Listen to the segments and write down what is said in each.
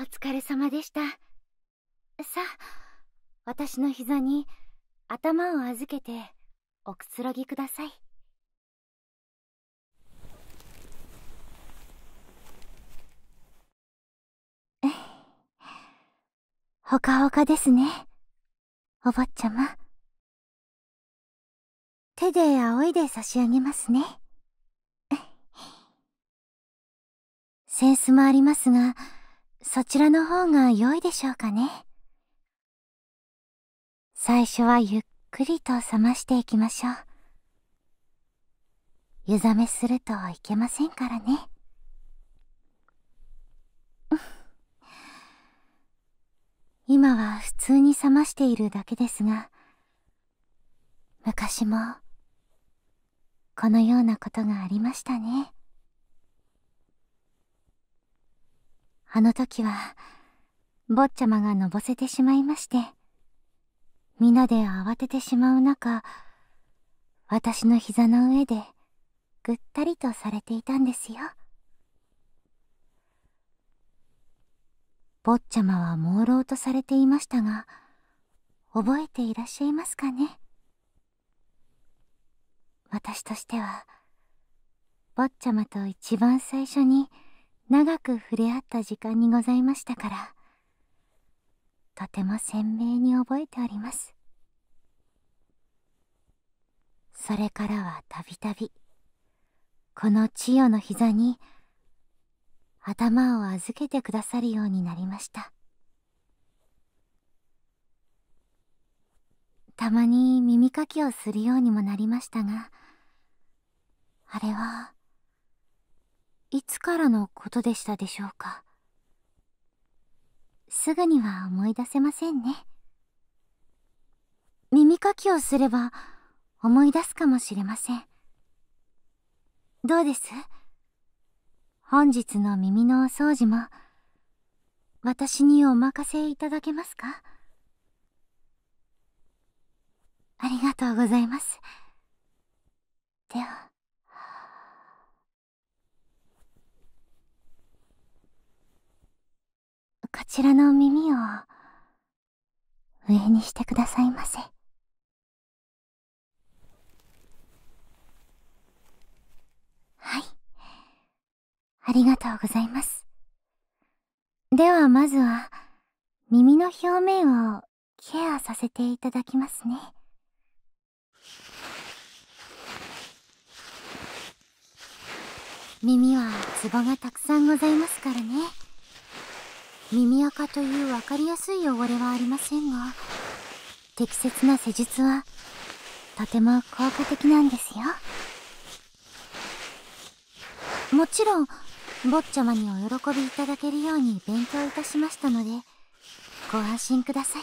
お疲れ様でした。さあ、私の膝に頭を預けておくつろぎください。ほかほかですね。お坊ちゃま。手で仰いで差し上げますね。センスもありますが、そちらの方が良いでしょうかね。最初はゆっくりと冷ましていきましょう。湯冷めするといけませんからね。ん今は普通に冷ましているだけですが、昔も、このようなことがありましたね。あの時は、坊ちゃまがのぼせてしまいまして、皆で慌ててしまう中、私の膝の上で、ぐったりとされていたんですよ。坊ちゃまは朦朧とされていましたが覚えていらっしゃいますかね私としては坊ちゃまと一番最初に長く触れ合った時間にございましたからとても鮮明に覚えておりますそれからはたびたびこの千代の膝に頭を預けてくださるようになりましたたまに耳かきをするようにもなりましたがあれはいつからのことでしたでしょうかすぐには思い出せませんね耳かきをすれば思い出すかもしれません。どうです本日の耳のお掃除も私にお任せいただけますかありがとうございます。では。こちらの耳を、上にしてくださいませ。はい。ありがとうございます。ではまずは、耳の表面をケアさせていただきますね。耳はツボがたくさんございますからね耳垢という分かりやすい汚れはありませんが適切な施術はとても効果的なんですよもちろん坊ちゃまにお喜びいただけるように勉強いたしましたのでご安心ください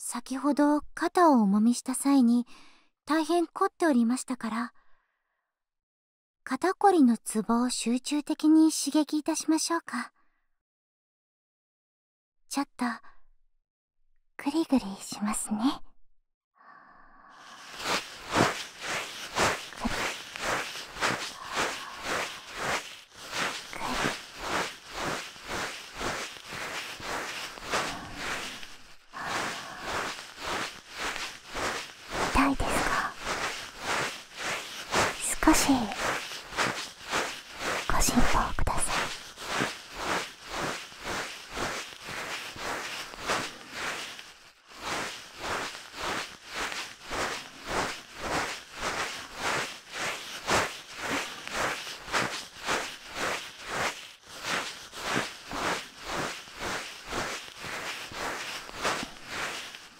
先ほど肩を重みした際に大変凝っておりましたから肩こりのツボを集中的に刺激いたしましょうかちょっとグリグリしますね。痛いですか少しご辛抱ください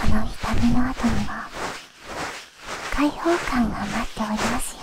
この痛みの後には解放感が待っておりますよ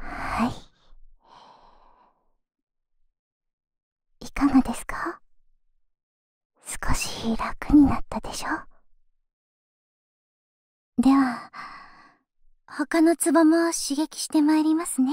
はいいかがですか少し楽になったでしょでは他のツボも刺激してまいりますね。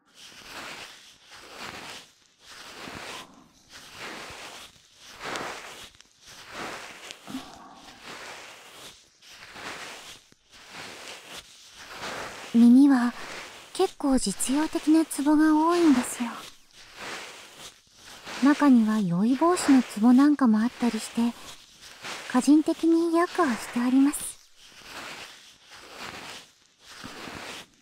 耳は結構実用的なツボが多いんですよ中には酔い防止のツボなんかもあったりして個人的に薬はしてあります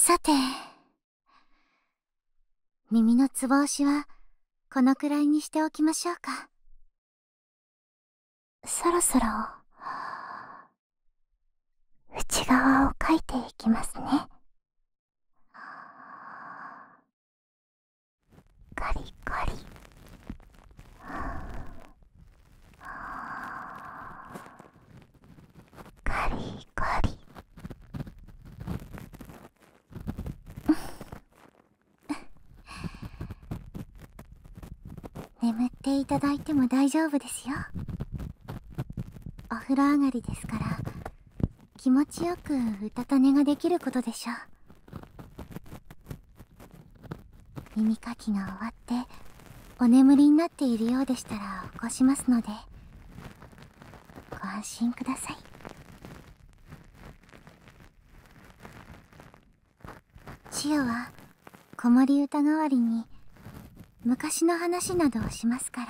さて耳のつぼ押しはこのくらいにしておきましょうかそろそろ内側をかいていきますねカリカリカリカリ 眠っていただいても大丈夫ですよお風呂上がりですから気持ちよくうたた寝ができることでしょう耳かきが終わってお眠りになっているようでしたら起こしますのでご安心ください千代は子守歌代わりに昔の話などをしますから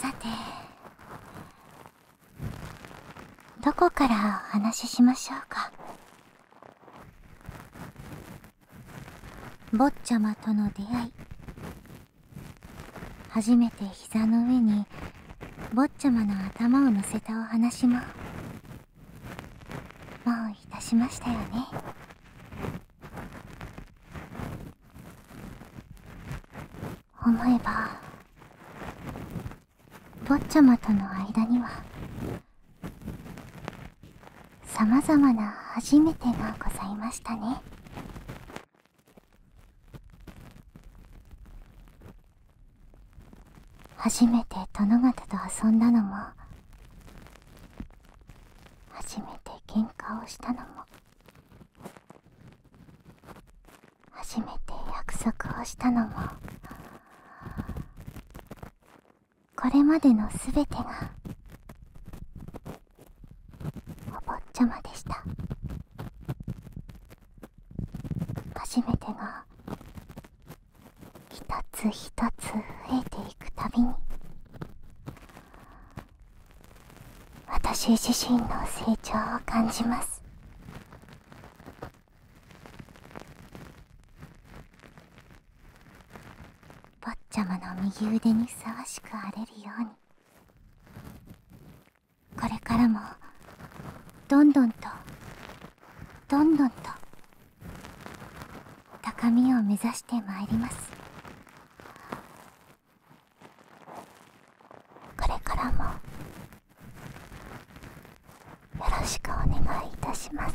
さてどこからお話ししましょうか坊ちゃまとの出会い初めて膝の上に坊ちゃまの頭を乗せたお話ももういたしましたよね思えば坊ちゃまとの間にはさまざまな初めてがございましたね初めて殿方と遊んだのも初めて喧嘩をしたのも初めて約束をしたのもこれまでの全てがお坊ちゃまでした初めてが一つ一つ増えていくたびに私自身の成長を感じます坊ちゃまの右腕にふさわしく荒れるようにこれからもどんどんとどんどんと高みを目指してまいりますこれからもよろしくお願いいたします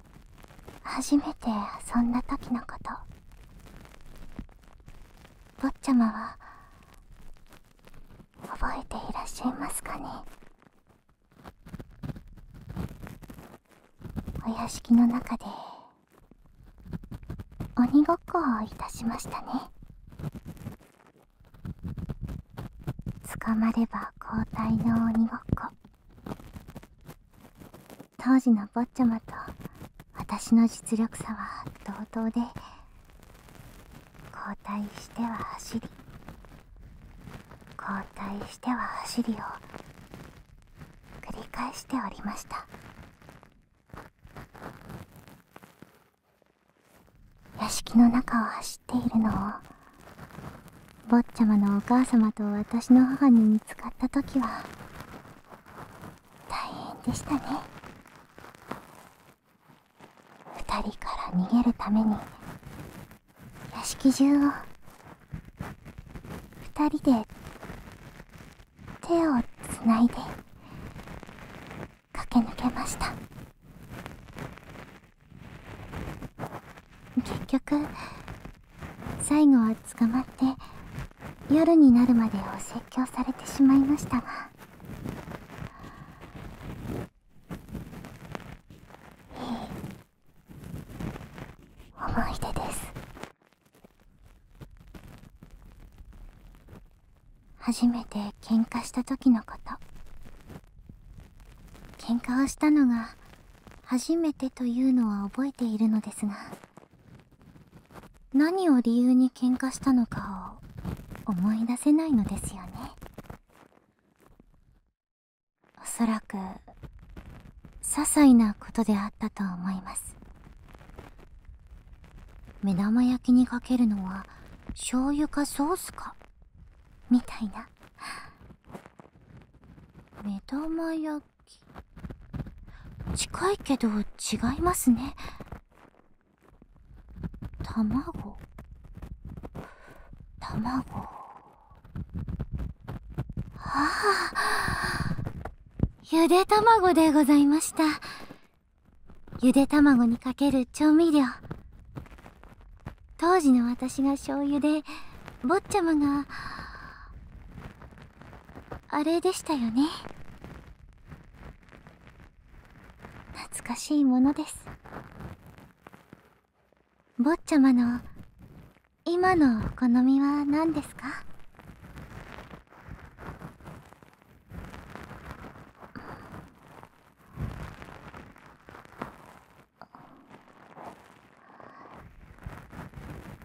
初めて遊んだ時のこと坊ちゃまは覚えていらっしゃいますかねお屋敷の中で鬼ごっこをいたしましたね捕まれば交代の鬼ごっこ当時の坊ちゃまと私の実力差は同等で交代しては走り交代しては走りを繰り返しておりました屋敷の中を走っているのを坊ちゃまのお母様と私の母に見つかった時は大変でしたね二人から逃げるために屋敷中を二人で手をつないで駆け抜けました結局最後は捕まって夜になるまでお説教されてしまいましたが。思い出です初めて喧嘩した時のこと喧嘩をしたのが初めてというのは覚えているのですが何を理由に喧嘩したのかを思い出せないのですよねおそらく些細なことであったと思います目玉焼きにかけるのは醤油かソースかみたいな目玉焼き。近いけど違いますね卵卵ああゆで卵でございましたゆで卵にかける調味料当時の私が醤油で坊ちゃまがあれでしたよね懐かしいものです坊ちゃまの今のお好みは何ですか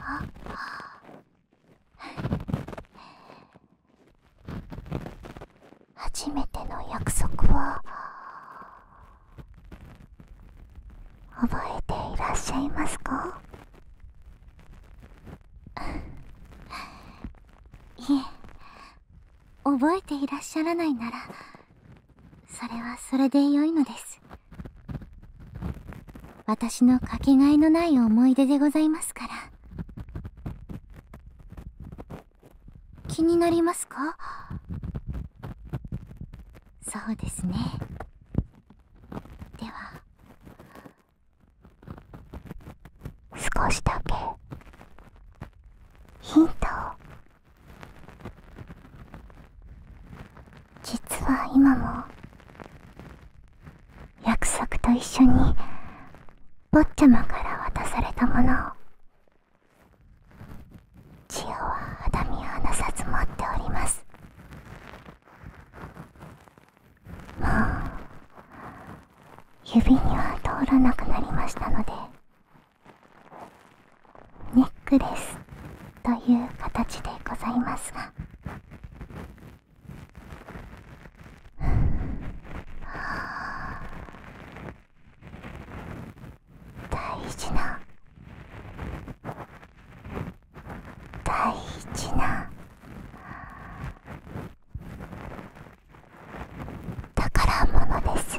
あ初めての約束を。覚えていらっしゃいますか いえ覚えていらっしゃらないならそれはそれで良いのです私のかけがえのない思い出でございますから気になりますかそうですねでは少しだけヒントを実は今も約束と一緒に坊ちゃまから渡されたものを千代は肌身離さず持っておりますもう指には通らなくなりましたのでネックレスという形でございますが 大事な大事な宝物です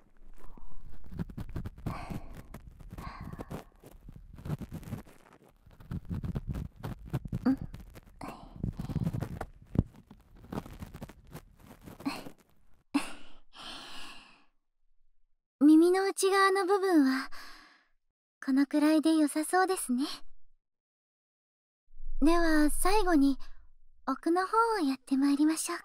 うん耳の内側の部分はこのくらいでよさそうですねでは最後に奥の方をやってまいりましょうか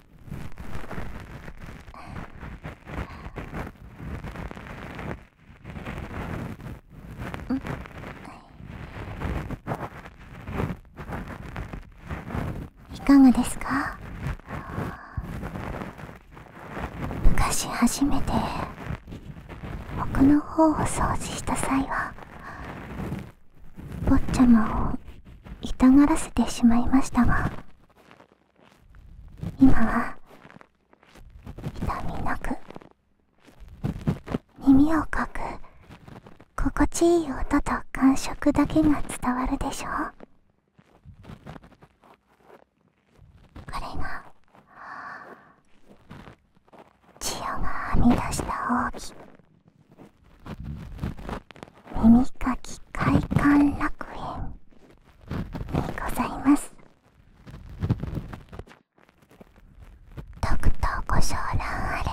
いかがですか昔初めて奥の方を掃除した際は坊ちゃまを痛がらせてしまいましたが今は痛みなく耳をかく心地いい音と感触だけが伝わるでしょこれが千代がはみ出した奥義耳かき快館楽園にございますとくと、ご賞覧あれ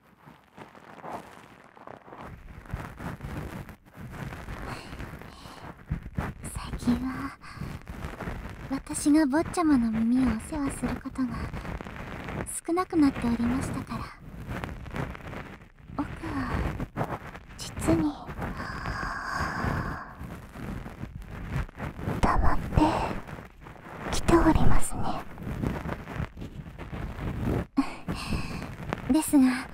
最近は私が坊ちゃまの耳をお世話することが少なくなっておりましたから僕は実にたまってきておりますね ですが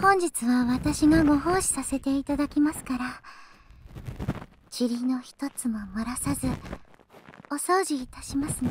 本日は私がご奉仕させていただきますから塵の一つも漏らさずお掃除いたしますね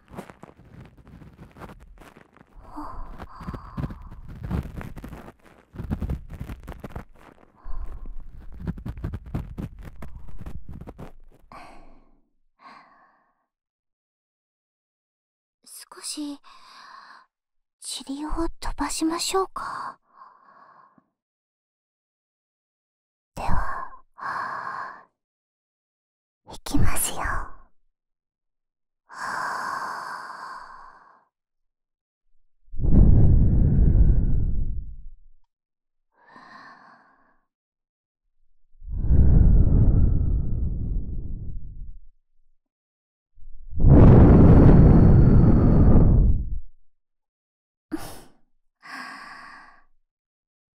少し塵を飛ばしましょうかではいきますよ。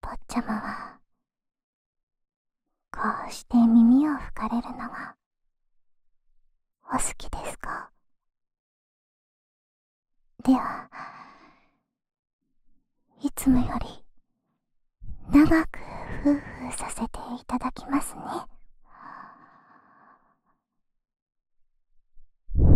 坊ちゃまは、こうして耳を拭かれるのが、お好きですかでは、いつもより、長くふ夫婦させていただきますね。は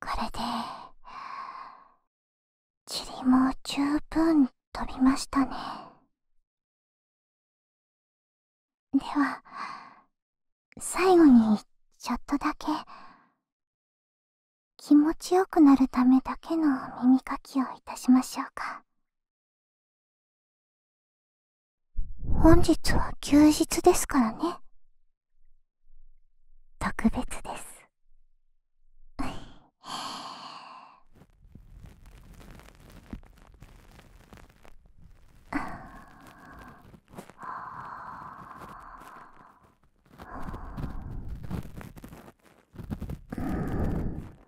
これで塵も十分飛びましたねでは最後にちょっとだけ気持ちよくなるためだけの耳かきをいたしましょうか本日は休日ですからね。特別です。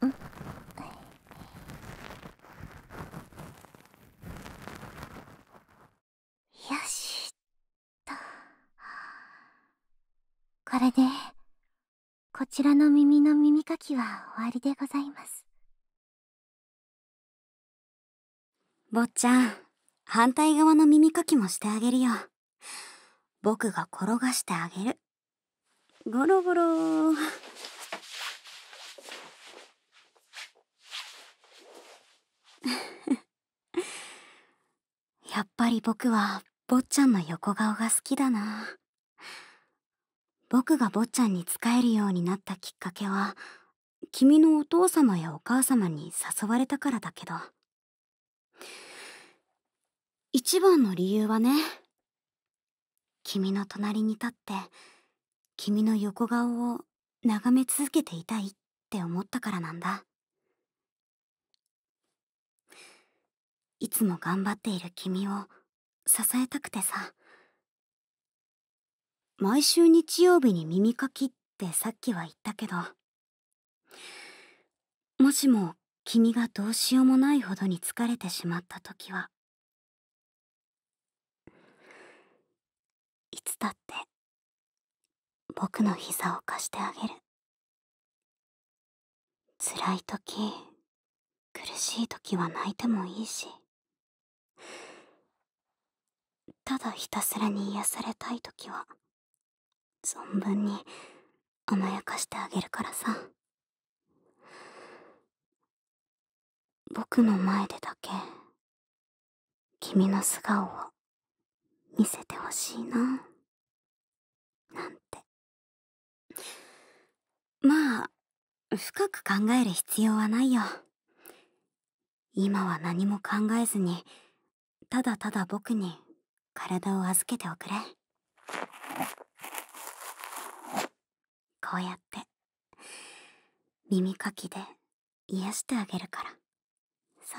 うんよしとこれでこちらの耳の耳かきは終わりでございます坊ちゃん反対側の耳かきもしてあげるよ僕が転がしてあげるゴロゴロ。やっぱり僕は坊っちゃんの横顔が好きだな。僕が坊っちゃんに仕えるようになったきっかけは、君のお父様やお母様に誘われたからだけど。一番の理由はね、君の隣に立って君の横顔を眺め続けていたいって思ったからなんだいつも頑張っている君を支えたくてさ毎週日曜日に耳かきってさっきは言ったけどもしも君がどうしようもないほどに疲れてしまった時はいつだって僕の膝を貸してあげる辛い時苦しい時は泣いてもいいしただひたすらに癒されたい時は存分に甘やかしてあげるからさ。僕の前でだけ君の素顔を見せてほしいななんてまあ深く考える必要はないよ今は何も考えずにただただ僕に体を預けておくれこうやって耳かきで癒やしてあげるからさ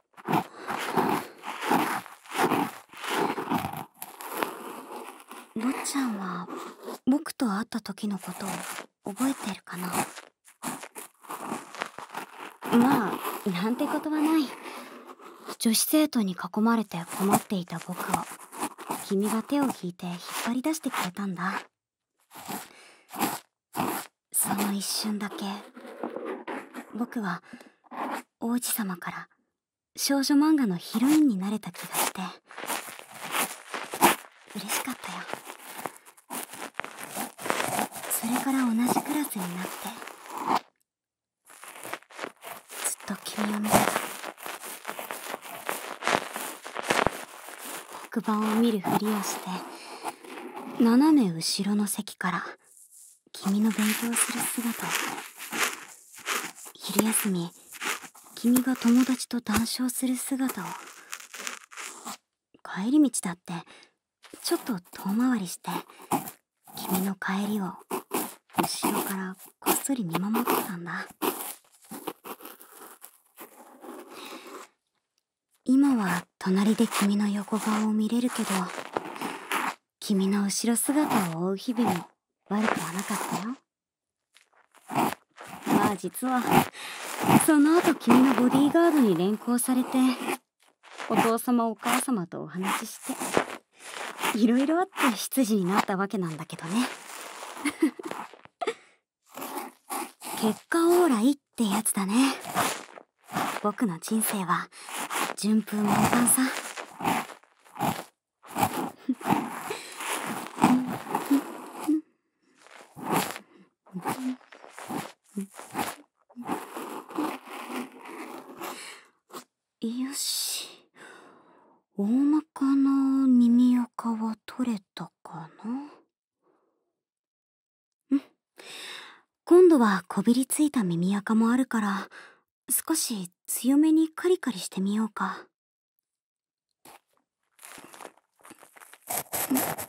坊っちゃんは僕と会った時のことを覚えてるかなまあなんてことはない女子生徒に囲まれて困っていた僕を君が手を引いて引っ張り出してくれたんだその一瞬だけ僕は王子様から少女漫画のヒロインになれた気がして嬉しかったよそれから同じクラスになってずっと君を見てた黒板を見るふりをして斜め後ろの席から君の勉強する姿昼休み君が友達と談笑する姿を帰り道だってちょっと遠回りして君の帰りを後ろからこっそり見守ってたんだ今は隣で君の横顔を見れるけど君の後ろ姿を追う日々も悪くはなかったよまあ実はその後君のボディーガードに連行されてお父様お母様とお話ししていろいろあって執事になったわけなんだけどね結果オーライってやつだね僕の人生は順風満帆さよし大まかな耳垢は取れたかなうん今度はこびりついた耳垢もあるから少し強めにカリカリしてみようか。んん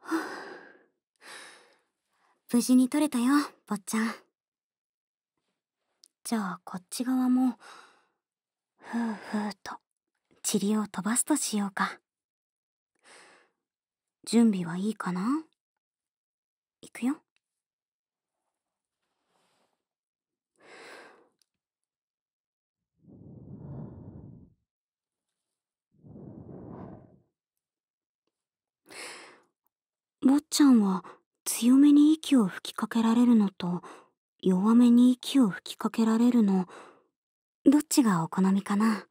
は 無事に取れたよ坊ちゃんじゃあこっち側もふうふうと塵を飛ばすとしようか準備はいいかな行くよ坊ちゃんは強めに息を吹きかけられるのと弱めに息を吹きかけられるのどっちがお好みかな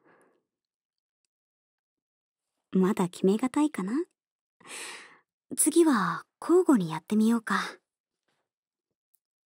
まだ決めがたいかな次は交互にやってみようか。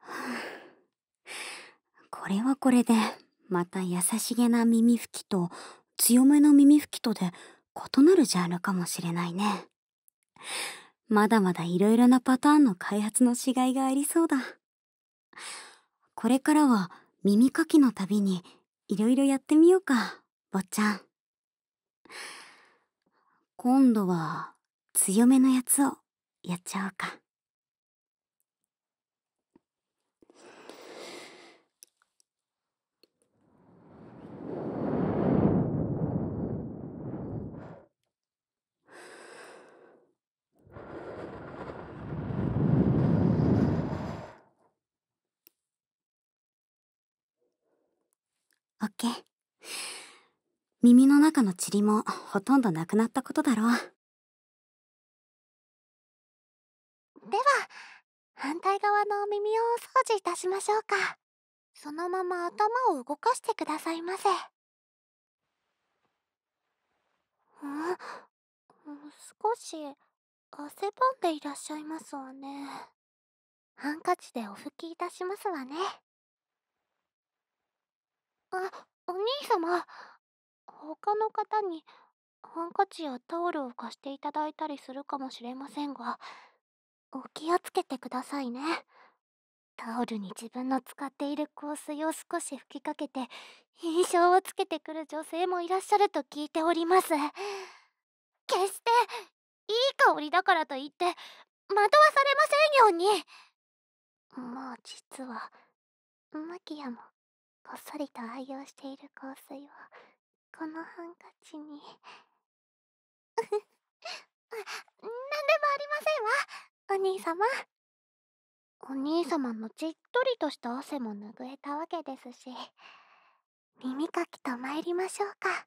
これはこれでまた優しげな耳拭きと強めの耳拭きとで異なるジャンルかもしれないねまだまだいろいろなパターンの開発のしがいがありそうだこれからは耳かきのたびにいろいろやってみようか坊ちゃん今度は強めのやつをやっちゃおうかオッケー耳の中の塵もほとんどなくなったことだろうでは反対側のお耳をお掃除いたしましょうかそのまま頭を動かしてくださいませうん少し汗ばんでいらっしゃいますわねハンカチでお拭きいたしますわねあお兄様他の方にハンカチやタオルを貸していただいたりするかもしれませんがお気をつけてくださいねタオルに自分の使っている香水を少し吹きかけて印象をつけてくる女性もいらっしゃると聞いております決していい香りだからといって惑わされませんようにもう実はマキアもこっそりと愛用している香水をこのハンカチになんでもありませんわお兄様お兄様のじっとりとした汗も拭えたわけですし耳かきと参りましょうか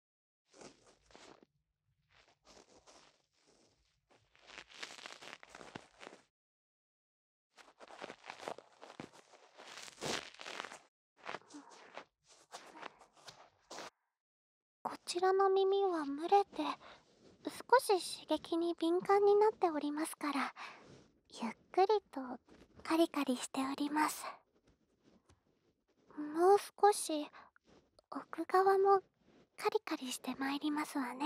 こちらの耳は蒸れて少し刺激に敏感になっておりますからゆっくりとカリカリしておりますもう少し奥側もカリカリしてまいりますわね。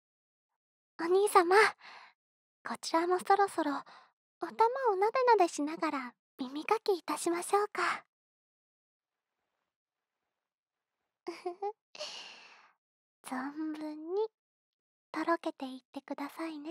お兄様こちらもそろそろお玉をなでなでしながら耳かきいたしましょうか 存分にとろけていってくださいね。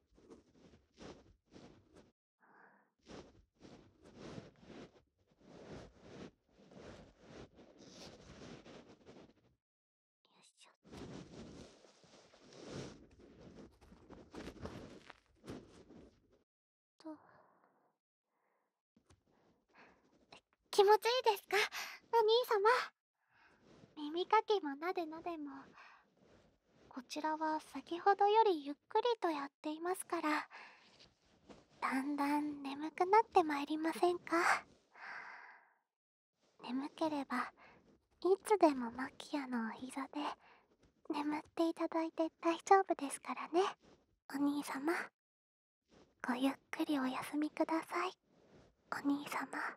よいしょ。と。気持ちいいですかお兄様。耳かきもなでなでもこちらは先ほどよりゆっくりとやっていますからだんだん眠くなってまいりませんか眠ければいつでもマキアのお膝で眠っていただいて大丈夫ですからねお兄様ごゆっくりお休みくださいお兄様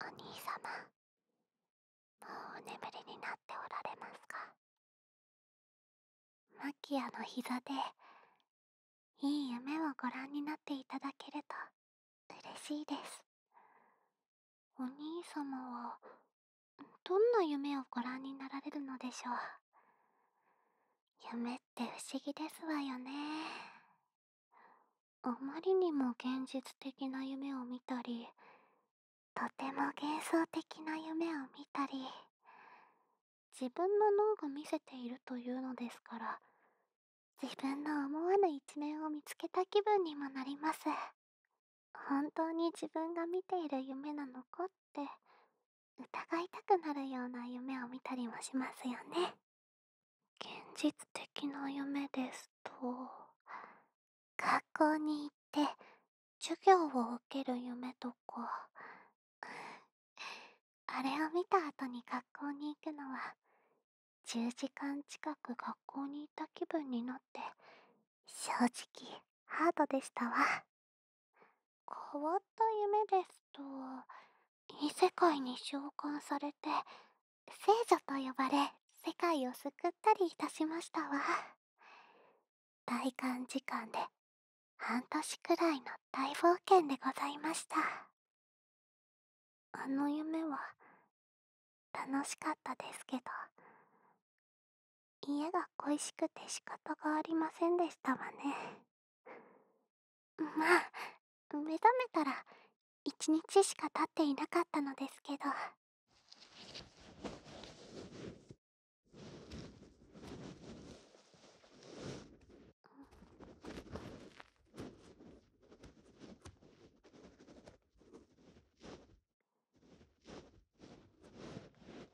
お兄様もうお眠りになっておられますかマキアの膝でいい夢をご覧になっていただけると嬉しいですお兄様はどんな夢をご覧になられるのでしょう夢って不思議ですわよねあまりにも現実的な夢を見たりとても幻想的な夢を見たり自分の脳が見せているというのですから自分の思わぬ一面を見つけた気分にもなります本当に自分が見ている夢なのかって。って疑いたくなるような夢を見たりもしますよね現実的な夢ですと学校に行って授業を受ける夢とかあれを見た後に学校に行くのは10時間近く学校にいた気分になって正直ハードでしたわ変わった夢ですと異世界に召喚されて聖女と呼ばれ世界を救ったりいたしましたわ大感時間で半年くらいの大冒険でございましたあの夢は楽しかったですけど家が恋しくて仕方がありませんでしたわねまあ目覚めたら一日しか経っていなかったのですけど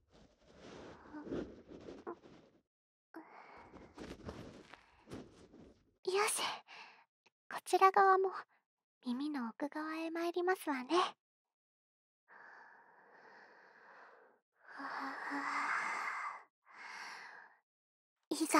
よしこちら側も耳の奥側へ参りますわね。いざ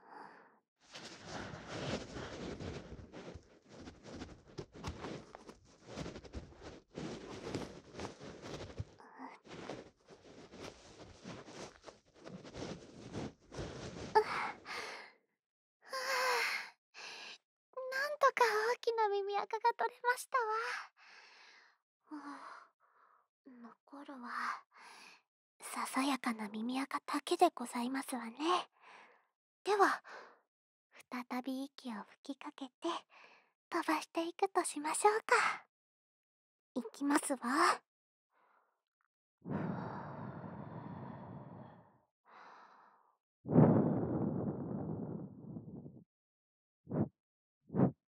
なんとか大きな耳垢が取れましたわ。残るはささやかな耳垢だけでございますわねでは再び息を吹きかけて飛ばしていくとしましょうかいきますわ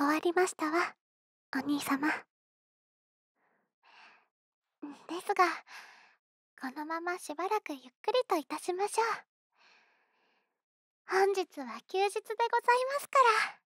終わりましたわお兄様ですがこのまましばらくゆっくりといたしましょう本日は休日でございますから。